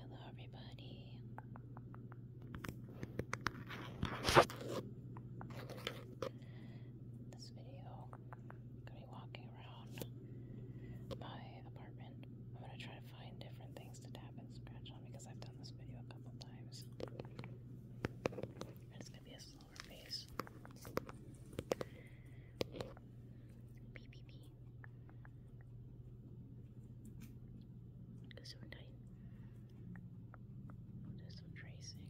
Hello, everybody. This video, gonna be walking around my apartment. I'm gonna try to find different things to tap and scratch on because I've done this video a couple times. And it's gonna be a slower pace. Beep, beep, beep. So tight. Oh, there's some tracing.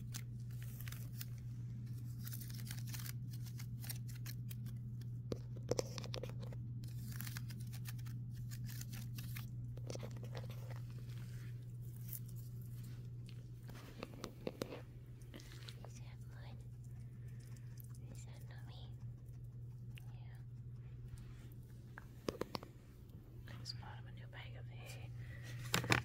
Is that mine? Is that not me? Yeah. It's part of a new bag of hair.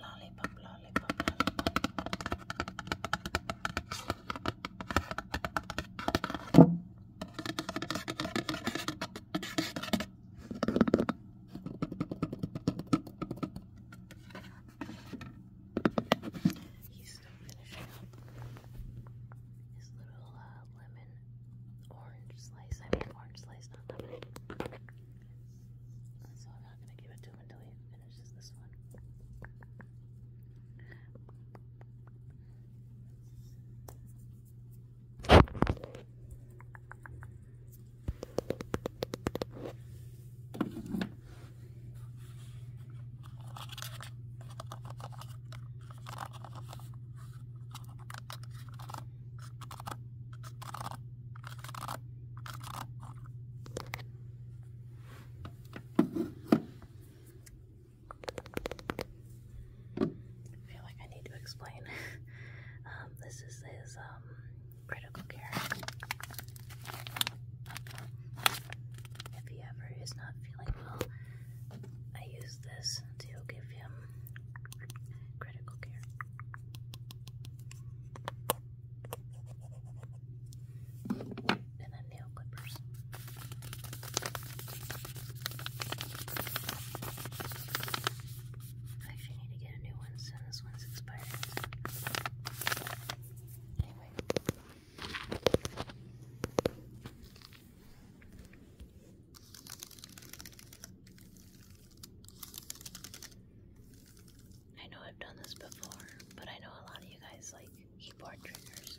Lollipop, lollipop, lollipop. He's still finishing up his little uh, lemon orange slice. I mean, orange slice, not lemon. So I'm not going to give it to him until he finishes this one. I feel like I need to explain. Um, this is his um, critical care. If he ever is not feeling well, I use this to give him critical care and then nail clippers. I actually need to get a new one soon. This one's expired. Anyway. I know I've done this before, but I know a lot of you guys like keyboard triggers.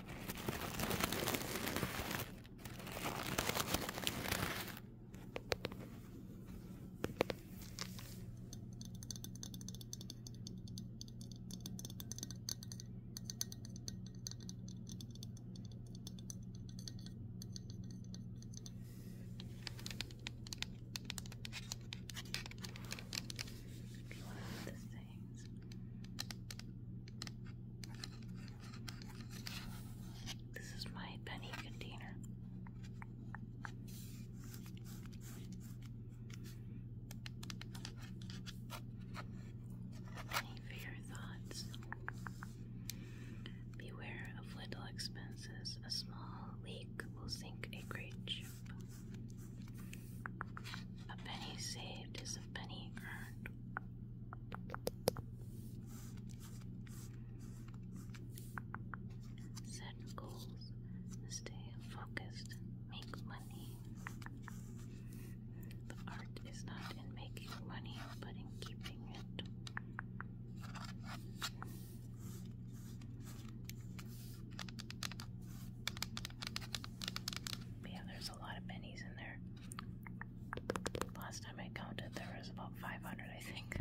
If you want to put this this is my penny container. Any fair thoughts? Beware of little expenses. A small leak will sink a great ship. A penny saved is a penny earned. Set goals, stay focused, make money. The art is not in making money, but in keeping it. Yeah, there's a lot of pennies in there. Last time I counted, there was about 500, I think.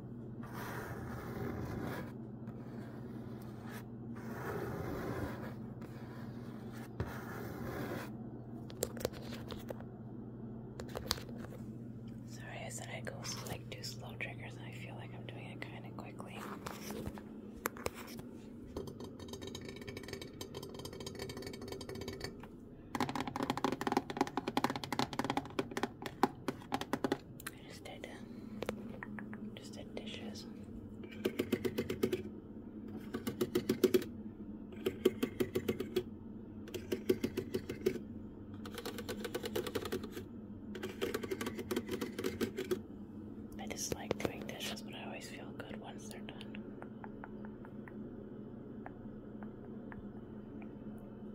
Sorry, I said I go like do slow triggers, and I feel like I'm doing it kind of quickly. I just did, um, just did dishes. I just like doing dishes, but I always feel good once they're done.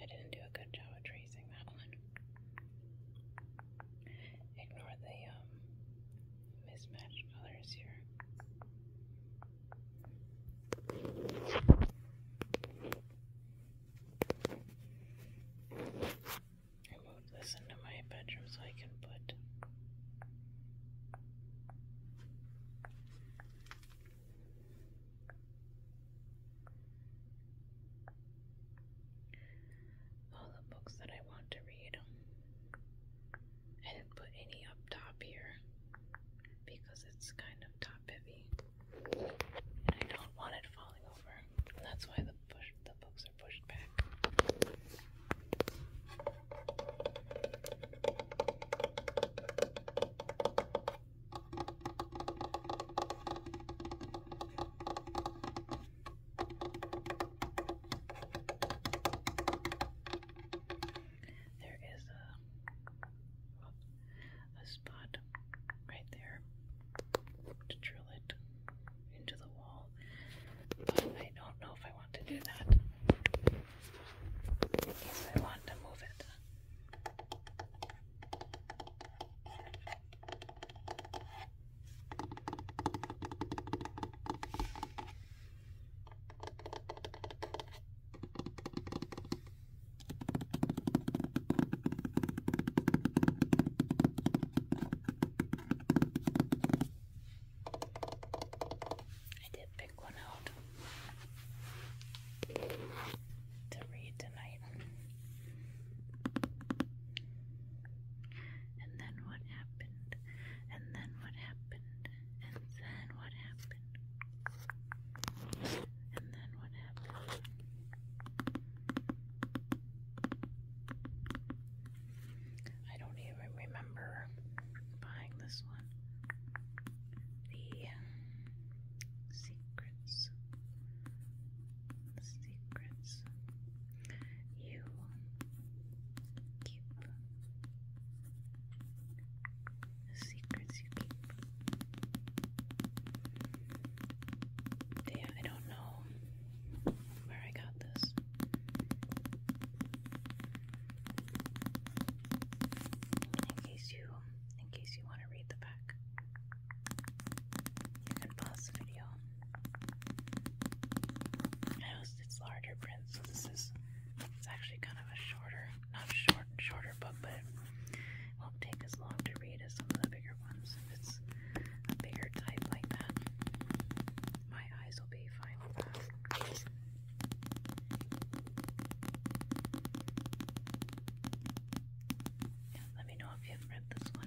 I didn't do a good job of tracing that one. Ignore the um, mismatched colors here. I moved this into my bedroom so I can put all the books that I want to read. I didn't put any up top here because it's kind of top heavy. And I don't want it falling over. That's why the the books are pushed back. There is a, a spot right there to drill it into the wall, but I don't know if I want to do that. I want to move it. I did one out to read tonight. And then what happened? And then what happened? And then what happened? And then what happened? I don't even remember buying this one. The secrets, secrets you keep, secrets you keep. Yeah, I don't know where I got this. In case you in case you want to read the back. You can pause the video. it's larger print, so this is it's actually kind of a shorter, not short, shorter book, but won't take as long to read as some of the bigger ones. If it's bigger type like that, my eyes will be fine yeah, let me know if you've read this one.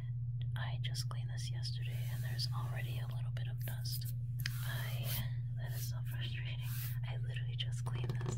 I just cleaned this yesterday and there's already a little bit of dust. I that is so frustrating. I literally just cleaned this.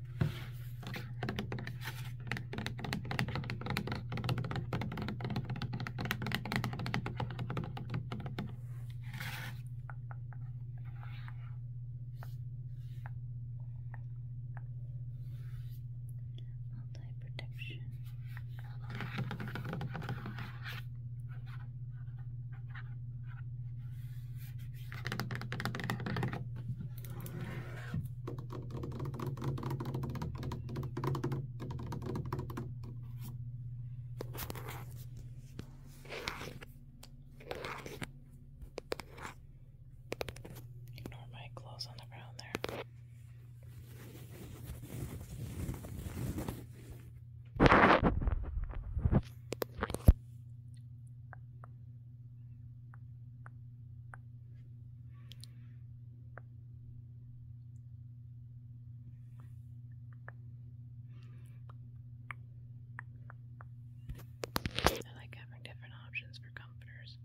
Multi-protection. Ignore my clothes on the ground there. I like having different options for comforters.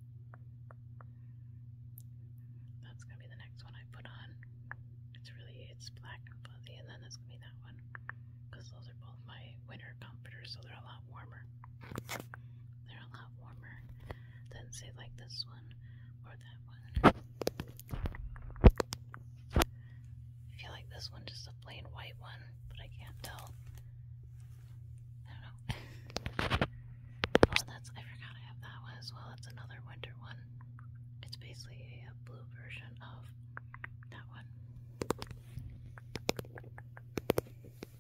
That's gonna be the next one I put on. It's really it's black and fluffy, and then that's gonna be that one because those are both my winter comforters, so they're a lot warmer. They're a lot warmer than, say, like this one or that one. I feel like this one just a plain white one, but I can't tell. I don't know. Oh, that's I forgot I have that one as well. That's another winter one. It's basically a blue version of that one.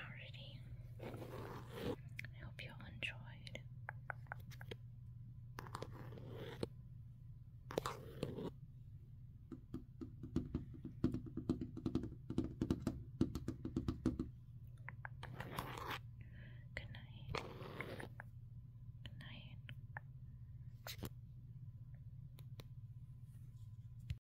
Alrighty. I hope you all enjoyed. Good night. Good night.